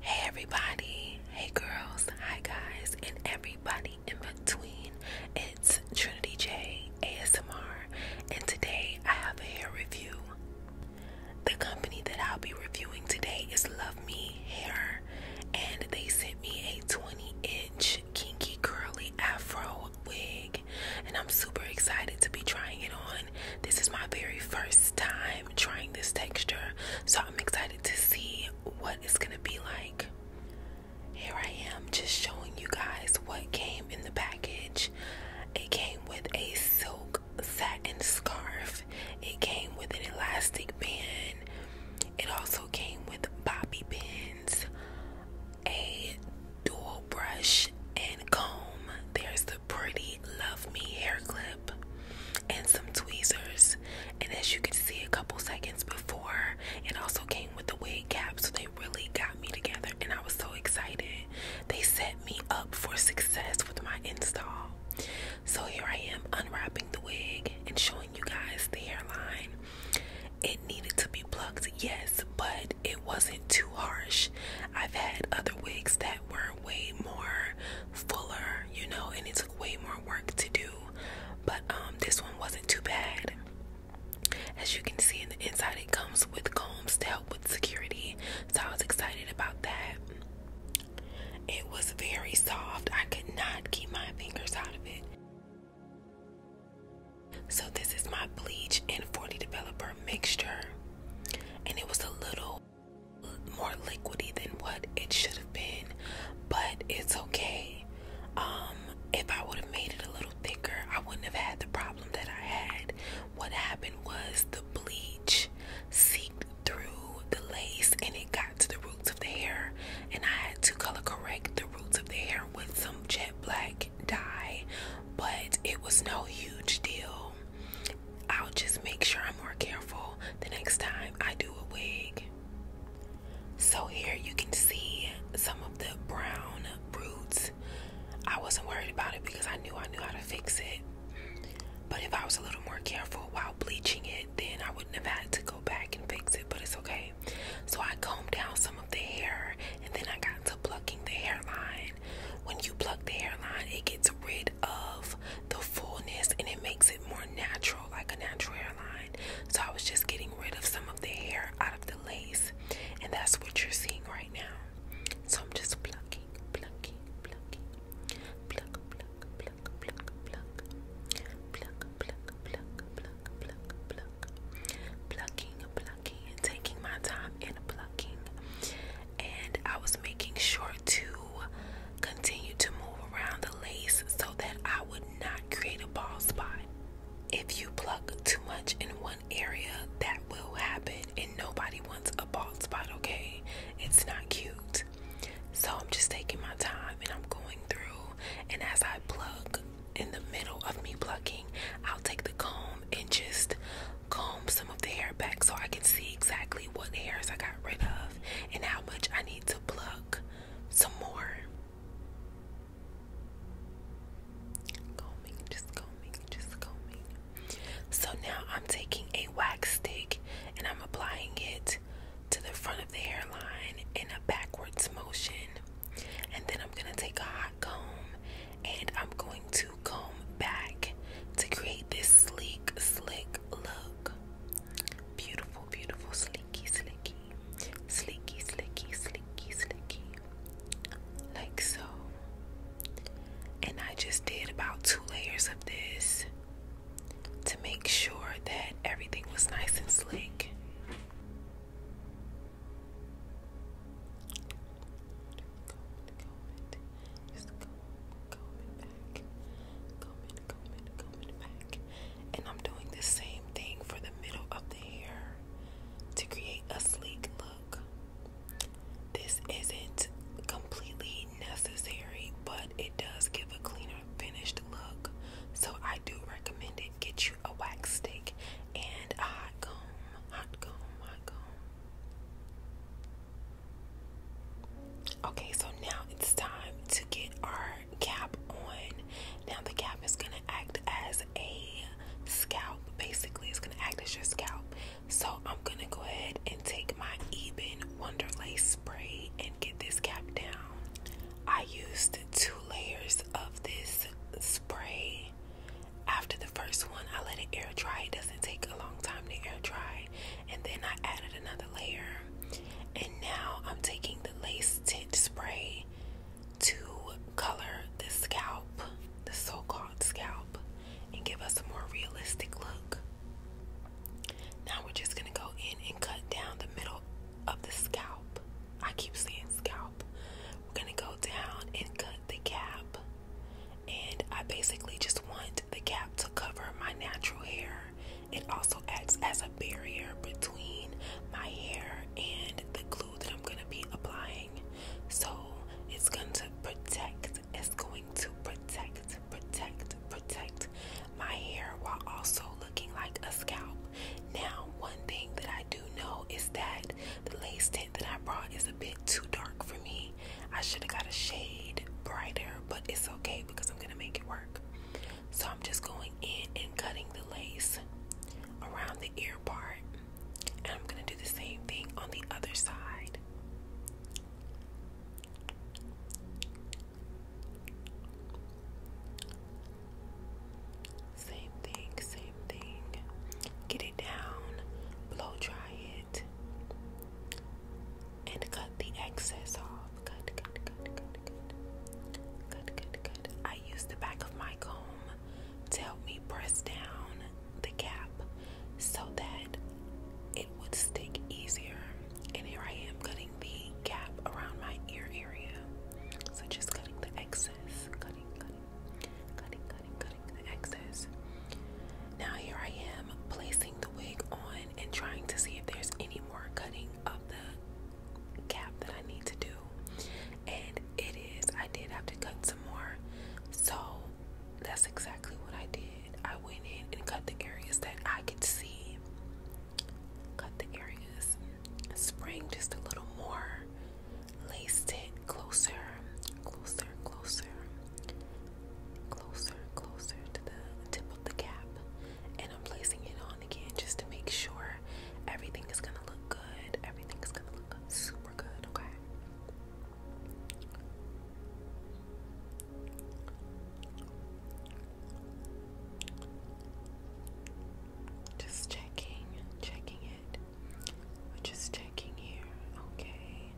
Hey everybody, hey girls, hi guys, and everybody in between. It's Trinity J ASMR, and today I have a hair review. The company that I'll be reviewing today is Love Me Hair, and they sent me a 20 inch kinky curly afro wig, and I'm super excited to be trying it on. This is my very first time i time trying this texture, so I'm excited to see what it's gonna be like. Here I am just showing you guys what came in the package. It came with a silk satin scarf, it came with an elastic band, it also came with bobby pins, a dual brush, and comb. There's the pretty Love Me hair clip and some tweezers. And as you can see, a couple seconds before, it also came with the wig cap. So they really got me together, and I was so excited. They set me up for success with my install. So here I am unwrapping the wig and showing you guys the hairline. It needed to be plucked, yes, but it wasn't too harsh. I've had other wigs that were way more fuller, you know, and it took way more work to do. But um, this one wasn't too bad. As you can see in the inside, it comes with combs to help with security. So I was excited about that. It was very soft. I could not keep my fingers out of it. So this is my bleach and 40 developer mixture. And it was a little more liquidy than what it should have been, but it's okay. Um, if I would have made it a little thicker, I wouldn't have had the problem that I had. What happened was the bleach seeped through the lace and it got to the roots of the hair, and I had to color correct the roots of the hair with some jet black dye, but it was no huge deal. I'll just make sure I'm more careful the next time I do a wig. So here you can see some of the brown roots. I wasn't worried about it because I knew I knew how to fix it. But if I was a little more careful while bleaching it, then I wouldn't have had to go back and fix it, but it's okay. So I combed down some of the hair and then I got to plucking the hairline hairline. When you pluck the hairline, it gets rid of the fullness and it makes it more natural, like a natural hairline. So I was just getting rid of some of the hair out of the lace, and that's what you're seeing right now. So I'm just plucking, plucking, plucking, pluck, pluck, pluck, pluck, pluck, pluck, pluck, pluck, pluck, pluck, pluck, plucking, plucking, and taking my time in plucking and I was making sure to continue to move around the lace so that I would not create a bald spot. If you pluck too much in one area, that will happen, and nobody wants a bald spot, okay? It's not cute. So I'm just taking my time and I'm going through, and as I pluck in the middle of me plucking, I'll take the comb and just comb some of the hair back so I can see exactly what hairs I got rid of and how much I need to pluck some more. Combing, just combing, just combing. So now I'm taking a wax stick and I'm applying it to the front of the hairline in a backwards motion. And then I'm going to take a hot comb and I'm going to comb back to create this sleek, slick look. Beautiful, beautiful, sleeky, slicky, slicky, slicky, slicky, like so. And I just did about two layers of this to make sure that everything was nice and slick. And I'm doing the same thing for the middle of the hair to create a sleek look. This isn't completely necessary, but it does give a cleaner, finished look. So I do recommend it. Get you a wax stick, and a hot comb. Hot comb, hot comb. Okay, so now it's time to get our cap on. Now the cap is gonna act as a scalp. Basically, it's gonna act as your scalp. So I'm gonna go ahead and take my Eben Wonderlay spray and get this cap down. I used two layers of this spray after the first one, I let it air dry. It doesn't take a long time to air dry. And then I added another layer. And now I'm taking the lace tint spray to color the scalp, the so called scalp, and give us a more realistic look. Now we're just going to go in and cut down the middle of the scalp. I keep saying scalp mouth. We're gonna go down and cut the cap. And I basically just want the cap to cover my natural hair. It also acts as a barrier between my hair and the glue that I'm gonna be applying. So it's going to protect, it's going to protect, protect, protect my hair while also looking like a scalp. Now, one thing that I do know is that the lace tint that I brought is a bit too dark for me. I should have got a shade brighter, but it's okay because I'm going to make it work. So I'm just going in and cutting the lace around the ear part. And I'm going to do the same thing on the other side. Same thing, same thing. Get it down, blow dry it, and cut the excess off. Cut, cut, cut, cut, cut. Cut, cut, cut. I use the back of my comb to help me press down the cap so that it would stick easier. And here I am cutting the cap around my ear area. So just cutting the excess excess, Now here I am placing the wig on and trying to see if there's any more cutting of the cap that I need to do. And it is, I did have to cut some more. So that's exactly what I did. I went in and cut the areas that I could see. Cut the areas spring just a little more. laced it closer, closer, closer, closer, closer to the tip of the cap. And I'm placing it on again just to make sure everything is gonna look good. Everything is gonna look good, super good, okay? Just checking, checking it. We're just checking here. Okay.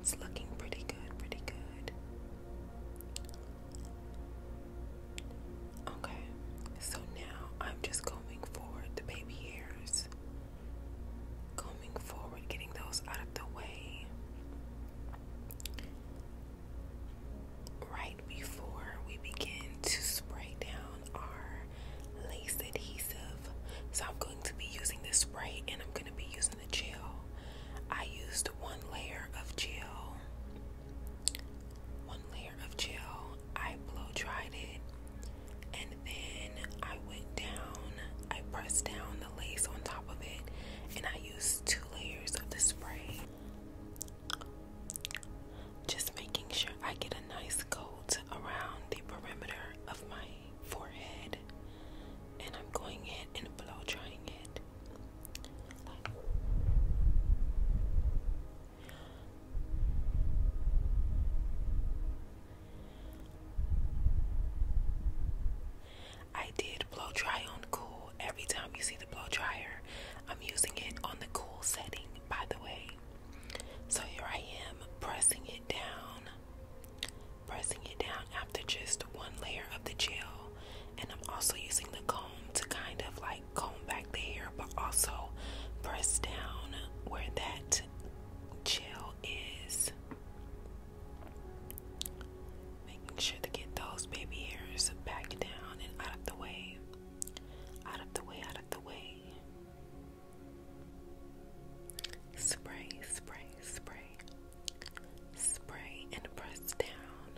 It's looking pretty good, pretty good. Okay. So now I'm just combing forward the baby hairs. Combing forward, getting those out of the way right before we begin to spray down our lace adhesive. So I'm going to be using the spray and I'm going to be using the gel. I used one layer of gel. One layer of gel. I blow dried it and then I went down. I pressed down the lace on top of it and I used two layers of the spray. Just making sure I get a nice coat around the perimeter of my forehead, and I'm going in and blow drying it. I did blow dry on cool Every time you see the blow dryer, I'm using it on the cool setting, by the way. So here I am pressing it down, pressing it down after just one layer of the gel. And I'm also using the comb to kind of like comb back the hair, but also press down where that gel is. Making sure to get those baby hairs back down and out of the way. Out of the way, out of the way. Spray, spray, spray. Spray and press down.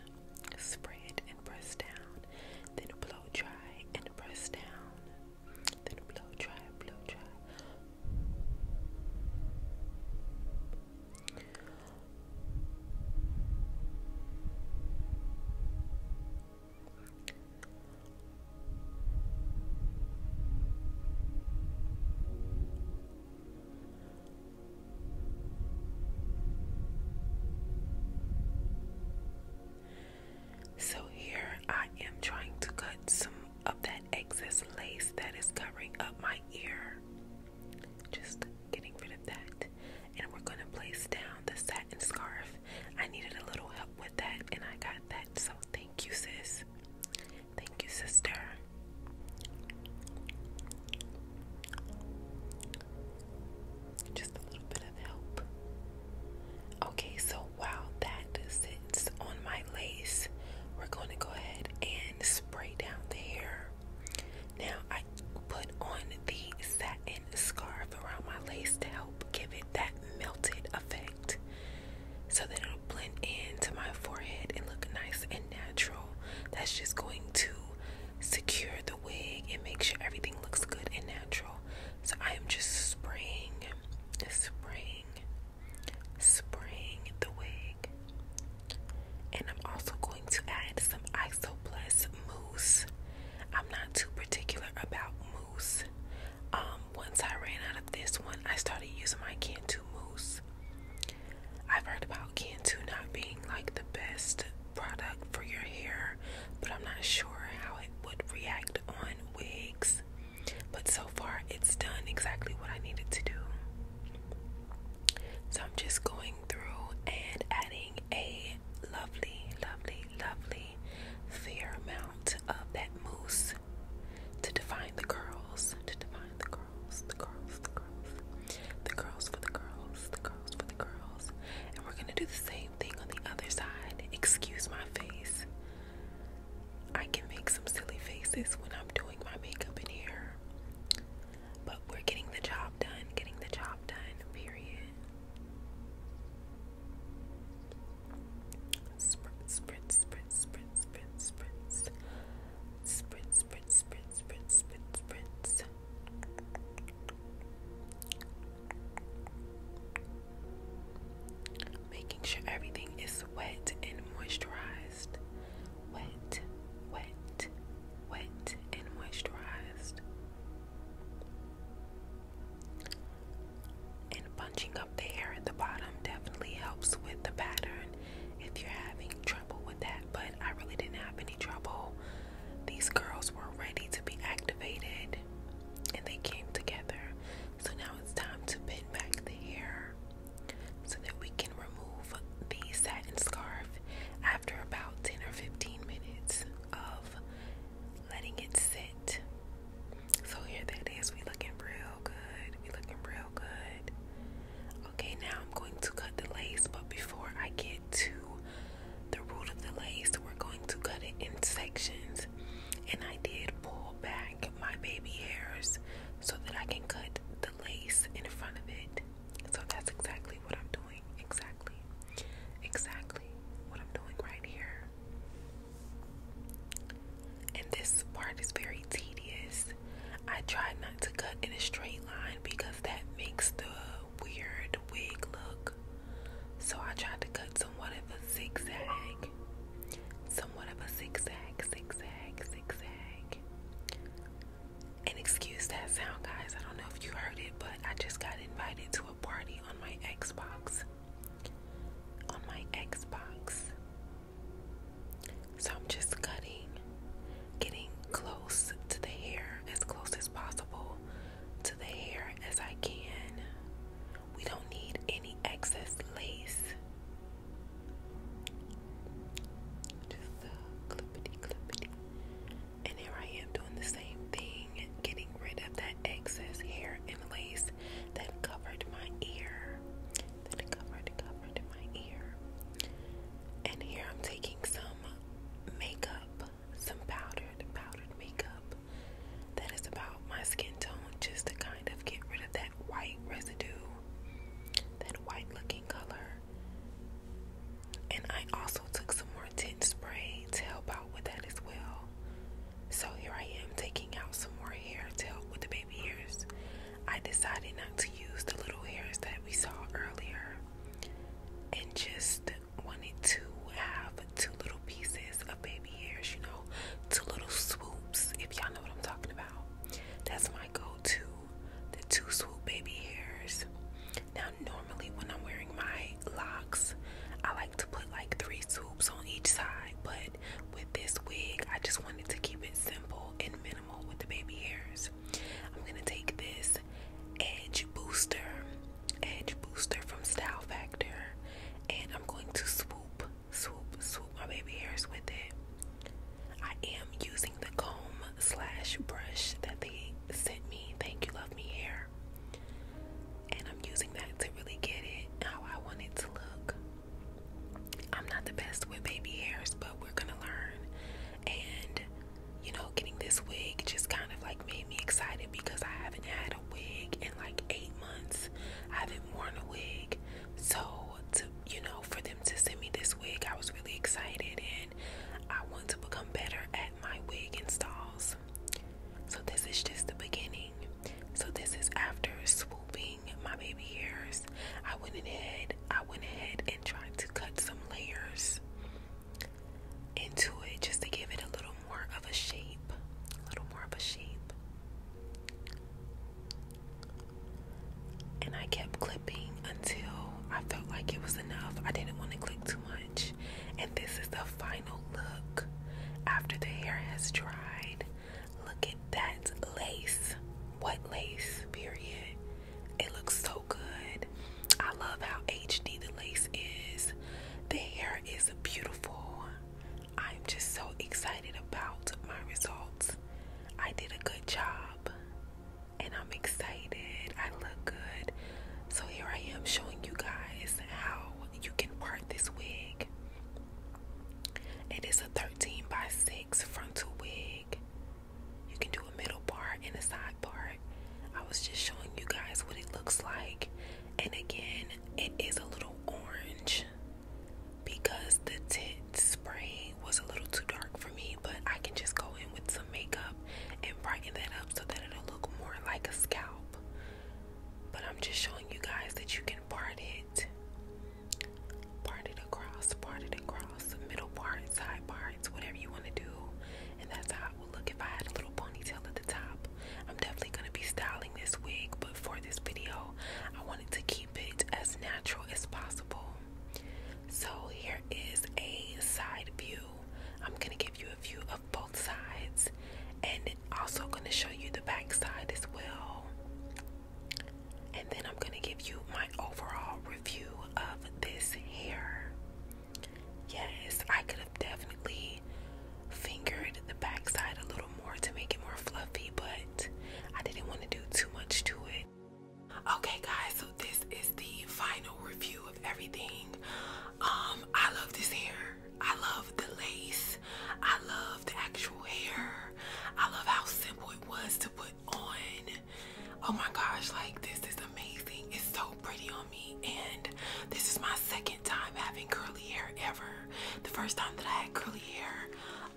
Spray it and press down. Then blow dry and press down. Then blow dry, blow dry. So, here I am trying to cut some of that excess lace that is covering up my ear. Just getting rid of that. And we're going to place down the satin scarf. I needed a little help with that, and I got that. So thank you, sis. Thank you, sister. Just a little bit of help. Okay, so while that sits on my lace, we're going to go ahead and spray down the hair. Now I put on the satin scarf around my lace to help give it that melted effect so that it'll blend into my forehead and look nice and natural. That's just going to secure the wig and make sure everything looks good and natural. So I am just spraying, spraying, spraying the wig and I'm also going to add some Isoplus mousse. I'm not too particular about mousse. Um, once I ran out of this one, I started using my Cantu mousse. I've heard about Cantu not being like the best product for your hair, but I'm not sure how it would react on wigs. But so far, it's done exactly what I needed to do. So I'm just going through and adding a lovely, lovely, lovely fair amount of that mousse to define the curls, to define the curls, the curls, the curls, the curls for the girls, the curls for the girls. And we're gonna do the same thing on the other side. Excuse my face. I can make some silly faces when I'm doing my makeup in here. But we're getting the job done, getting the job done, period. Spritz, spritz, spritz, spritz, spritz, spritz. Spritz, spritz, spritz, spritz, spritz, spritz. Making sure everything is wet and moisturized moisturized, wet, wet, wet, and moisturized. And bunching up the hair at the bottom definitely helps with the pattern if you're having trouble with that, but I really didn't have any trouble. These girls were ready to be activated and they came together. So now it's time to pin back the hair so that we can remove the satin scarf after about 10 or 15 minutes of letting it sit. So here that is, we looking real good. We looking real good. Okay, now I'm going to cut the lace, but before I get to the root of the lace, we're going to cut it in sections. And I did pull back my baby hairs so that I can cut the lace in front of it. So that's exactly what I'm doing. Exactly. Exactly what I'm doing right here. And this part is very tedious. I try not to cut in a straight line because that makes the weird wig look. So I tried to cut somewhat of a zigzag. Somewhat of a zigzag, zigzag, zigzag. And excuse that sound, guys. I don't know if you heard it, but I just got invited to a party on my Xbox. On my Xbox. So I'm just cutting, getting close to the hair, as close as possible to the hair as I can. We don't need any excess lace. Just the uh, clippity clippity. And here I am doing the same thing, getting rid of that excess hair and lace that covered my ear. That covered, covered my ear. And here I'm taking some makeup, some powdered, powdered makeup that is about my skin tone, just to kind of get rid of that white residue that white looking color. And I also took some more tint spray to help out with that as well. So here I am taking out some more hair to help with the baby hairs. I decided not to use the little hairs that we saw earlier and just wanted to have two little pieces of baby hairs, you know, two little swoops, if y'all know what I'm talking about. That's my goal to the two swoop baby hairs. Now, normally when I'm wearing my locks, I like to put like three swoops on each side, but with this wig, I just wanted to keep it simple and minimal with the baby hairs. I'm gonna take this edge booster, edge booster from Style Factor, and I'm going to swoop swoop, swoop my baby hairs with it. I am using the comb slash brush that they sent me. Thank you, love me hair. And I'm using that to really get it how I want it to look. I'm not the best with baby hairs, but we're gonna learn. And you know, getting this wig just kind of like made me excited because I haven't had a wig in like eight months. I haven't worn a wig. So, you know, for them to send me this wig, I was really excited and I want to become better at my wig installs. So, this is just the beginning. So, this is after swooping my baby hairs. I went ahead, I went ahead and tried to cut some layers into it just to give it a little more of a shape. A little more of a shape. And I kept clipping until I felt like it was enough. I didn't want to clip too much. And this is the final look after the hair has dried. Look at that lace. What lace, period. It looks so good. I love how HD the lace is. The hair is beautiful. I'm just so excited about my results. I did a good job and I'm excited. I look good. So here I am showing you guys how you can part this wig. It is a 13 by 6 frontal wig. You can do a middle part and a side part. I was just showing you guys what it looks like. And again, it is a little orange because the tint spray was a little too dark for me, but I can just go in with some makeup and brighten that up so that it'll look more like a scalp. But I'm just showing you guys that you can part it, part it across, part it across, middle parts, side parts, whatever you want to do. And that's how it would look if I had a little ponytail at the top. I'm definitely going to be styling this wig, but for this video, I wanted to keep it as natural as possible. So here is a side view. I'm gonna give you a view of both sides and also gonna show you the back side as well. And then I'm gonna give you my overall review of this hair. Yes, I could have definitely fingered the backside a little more to make it more fluffy, but I didn't want to do too much to it. Okay, guys, so this is the final review of everything. Um, I love this hair. I love the lace. I love the actual hair. I love how simple it was to put on. Oh my gosh, like this is amazing. It's so pretty on me. And this is my second time having curly hair ever the first time that I had curly hair,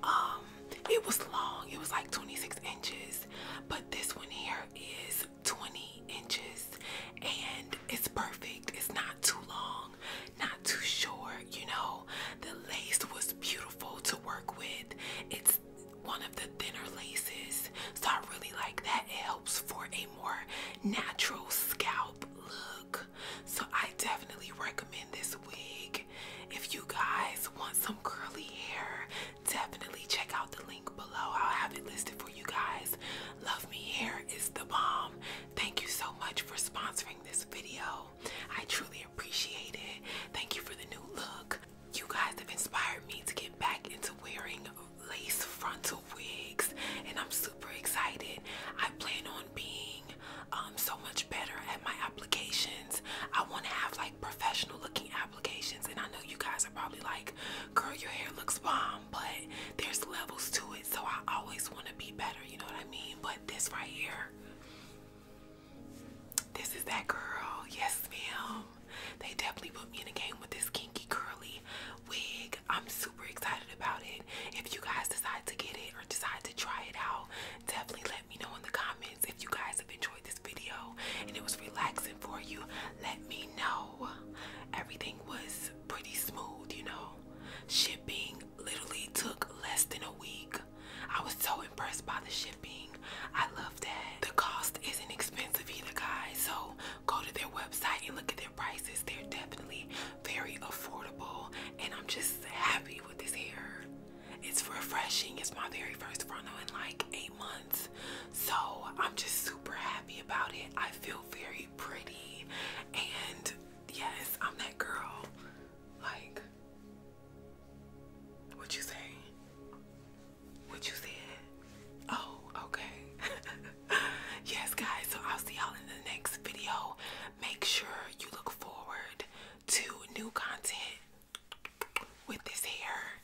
um, it was long. It was like 26 inches, but this one here is 20 inches and it's perfect. It's not too long, not too short, you know. The lace was beautiful to work with. It's one of the thinner laces, so I really like that. It helps for a more natural scalp look. So I definitely recommend this wig. If you guys want some curly hair, definitely check out the link below. I'll have it listed for you guys. Love Me Hair is the bomb. Thank you so much for sponsoring this video. I truly appreciate it. Thank you for the new look. You guys have inspired me to get back into wearing lace frontal wigs and I'm super excited. I plan on being um, so much better at my applications. I want to have like professional looking applications. And I know you guys are probably like, girl, your hair looks bomb, but there's levels to it. So I always want to be better. You know what I mean? But this right here, this is that girl. Yes, ma'am. They definitely put me in a game with this kinky curly wig. I'm super excited about it. If you guys decide to get it or decide to try it out, definitely let me know in the comments if you guys have enjoyed this video and it was relaxing for you. Let me know. Everything was pretty smooth, you know. Shipping literally took less than a week. I was so impressed by the shipping. I love that. The cost isn't expensive either, guys. So go to their website and look at their prices. They're definitely very affordable, and I'm just happy with this hair. It's refreshing. It's my very first frontal in like eight months, so I'm just super happy about it. I feel very pretty, and yes, I'm that girl. Like, what you say? What you said? Oh, okay. yes, guys, so I'll see y'all in the next video. Make sure you look forward to new content with this hair.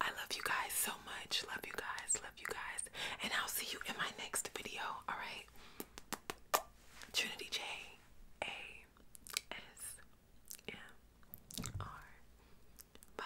I love you guys so much. Love you guys. Love you guys. And I'll see you in my next video. All right. Trinity J A S M R. Bye.